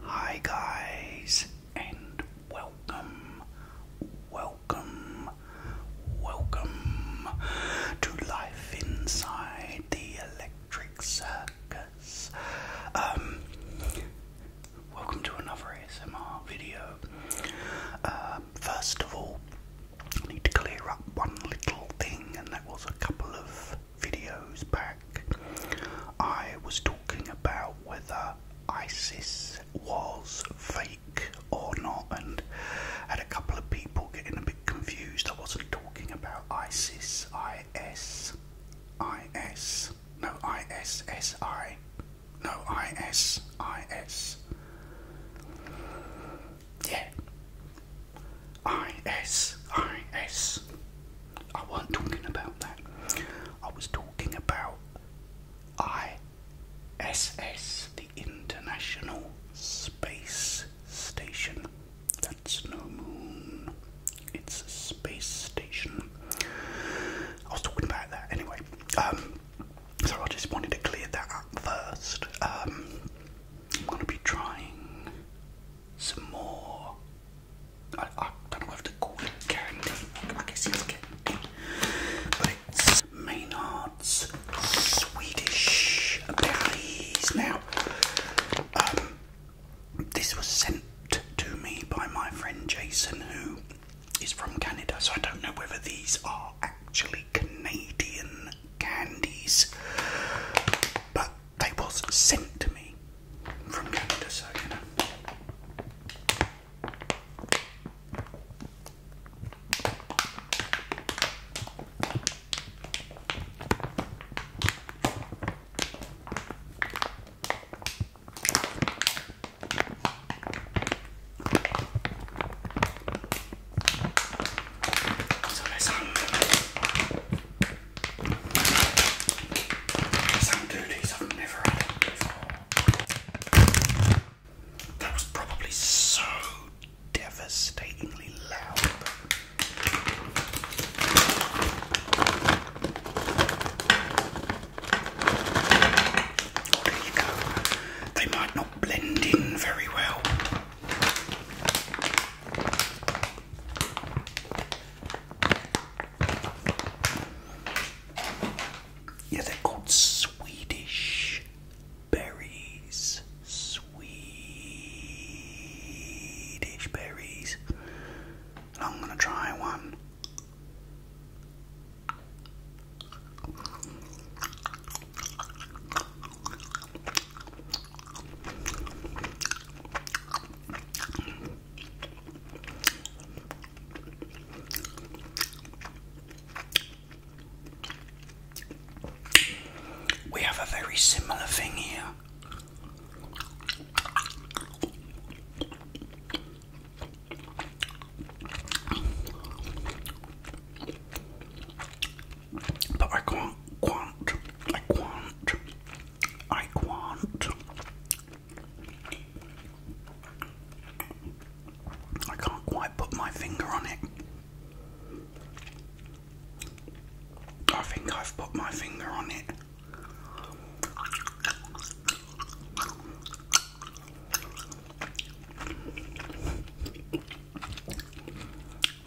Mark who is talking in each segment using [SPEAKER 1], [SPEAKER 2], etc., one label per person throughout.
[SPEAKER 1] Hi guys and welcome, welcome, welcome to life inside the electric circus. Um, welcome to another ASMR video. Uh, first of all, I need to clear up one little thing, and that was a couple of videos back, I was talking about whether ISIS was fake or not, and had a couple of people getting a bit confused. I wasn't talking about ISIS, IS, IS, no, ISSI, no, IS, IS. Yeah, IS, I wasn't talking about that. I was talking about ISS, the International Space Station. That's no moon. It's a space station. I was talking about that anyway. Um, so I just wanted to clear that up first. Um, I'm going to be trying some more I, don't know whether to call it guaranteed. I guess it's guaranteed. But it's Maynard's Swedish candies. Now, um, this was sent to me by my friend Jason, who is from Canada, so I don't know whether these are actually Canadian candies. But they was sent to me from Canada, so you know. So let's I've never had before. That was probably so devastatingly loud. there you go. They might not blend in very well. Yeah, they're called Swedish berries. Swedish berries. I'm gonna try one. We have a very similar thing here but I can't quant, I quant, I quant. I can't quite put my finger on it. I think I've put my finger on it.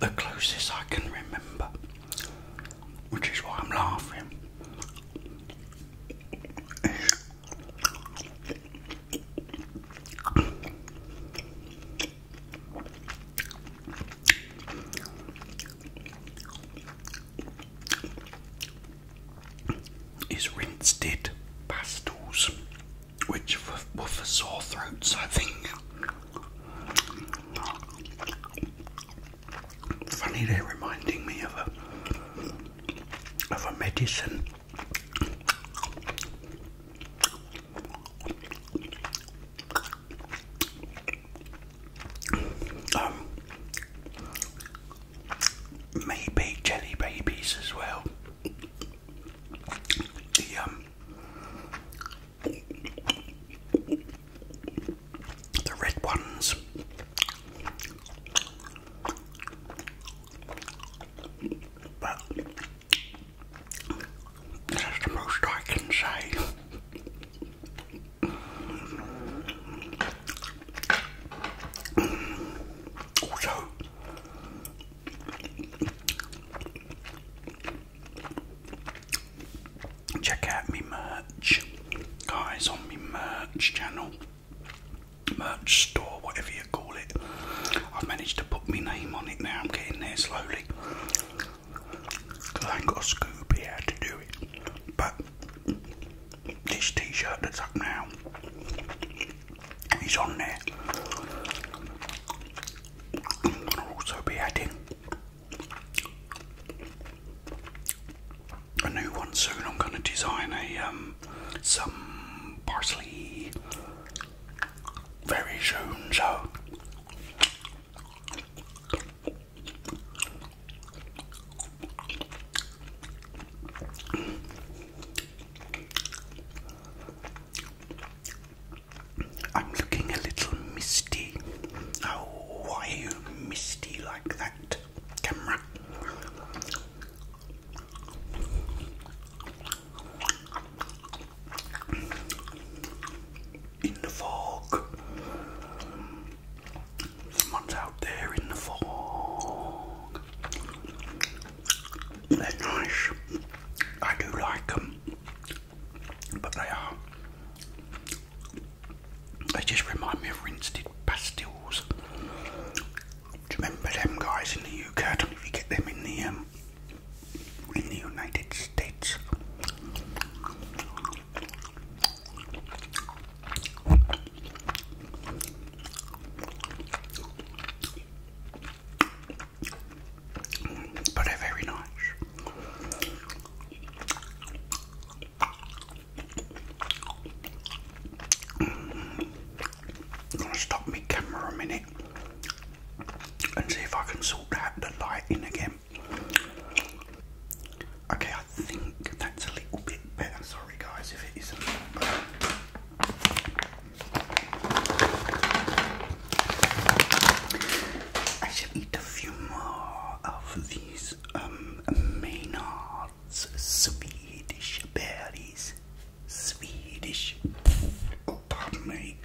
[SPEAKER 1] The closest I can remember, which is why I'm laughing, is rinsed it pastels, which were for sore throats, I think. Funny, they're reminding me of a of a medicine. Um, maybe jelly babies as well the um the red ones but that's the most I can say also check out me merch guys on my merch channel merch store whatever you call it I've managed to put my name on it now I'm getting there slowly I got a scoop to do it but this t-shirt that's up now is on there. I'm gonna also be adding a new one soon. I'm gonna design a um some parsley very soon so I'm looking a little misty. Oh, why are you misty like that, camera? In the fog. Someone's out there in the fog. They're nice. I do like them, but they are. They just remind me of rinsed pastilles. Do you remember them guys in the UK? don't know if you get them in the um, in the United States. But are very nice. I'm mm. gonna stop my camera a minute and see if I can sort out the light in again. Okay, I think that's a little bit. I'm sorry, guys, if it isn't. I shall eat a few more of these um, Maynard's Swedish berries. Swedish. Oh, pardon me.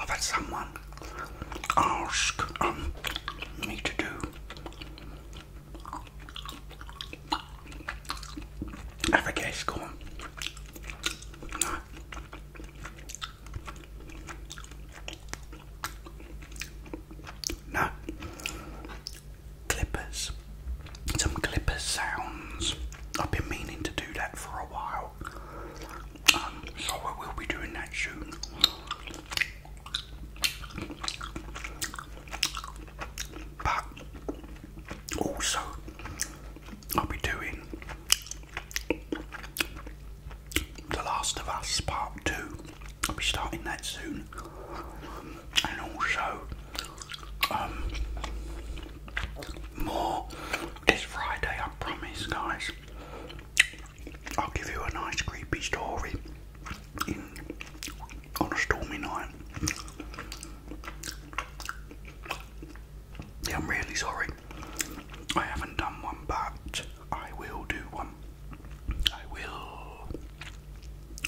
[SPEAKER 1] I've had someone ask um, me to do avocado score. No. No clippers, some Clippers sounds. I've been meaning to do that for a while, um, so we will be doing that soon. But also, I'll be doing The Last of Us Part 2. I'll be starting that soon. And also, um, more this Friday, I promise, guys. I'll give you a nice creepy story in, on a stormy night. I'm really sorry. I haven't done one, but I will do one. I will.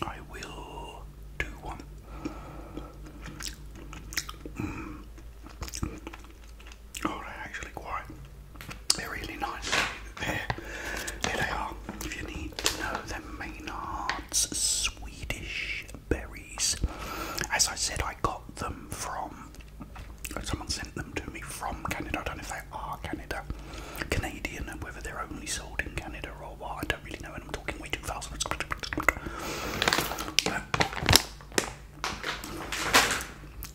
[SPEAKER 1] I will do one. Oh, mm. they're actually quite. They're really nice. There, there they are. If you need to know, they're Maynard's Swedish berries. As I said, I got them from. Someone sent them to me from Canada. don't know if are oh, Canada, Canadian, and whether they're only sold in Canada or what, I don't really know. And I'm talking way too fast.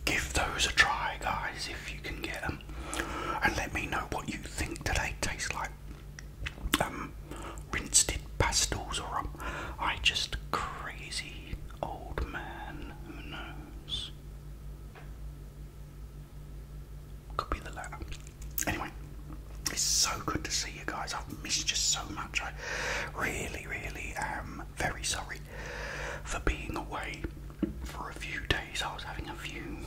[SPEAKER 1] Give those a try, guys, if you can get them, and let me know what you think. Do they taste like um, rinsed pastels, or um, I just crazy old man? Who knows? Could be the latter. Anyway, it's so good to see you guys. I've missed you so much. I really, really am very sorry for being away for a few days. I was having a few,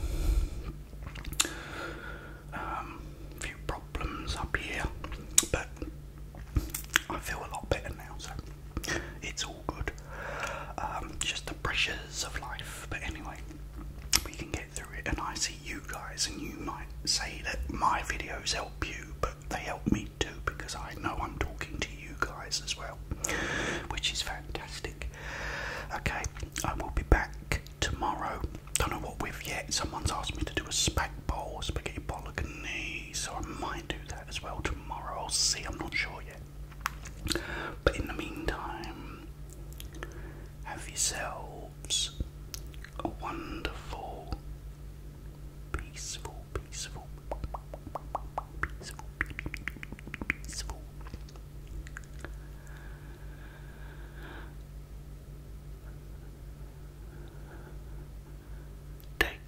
[SPEAKER 1] um, few problems up here, but I feel a lot better now, so it's all good. Um, just the pressures of life. But anyway, we can get through it. And I see you guys, and you might say that my videos help you, but they help me too because I know I'm talking to you guys as well, which is fantastic. Okay, I will be back tomorrow. Don't know what we've yet. Someone's asked me to do a spag bowl, spaghetti bolognese, so I might do that as well tomorrow. I'll see. I'm not sure yet. But in the meantime, have yourselves a wonderful, peaceful, peaceful, peaceful, peaceful. Day.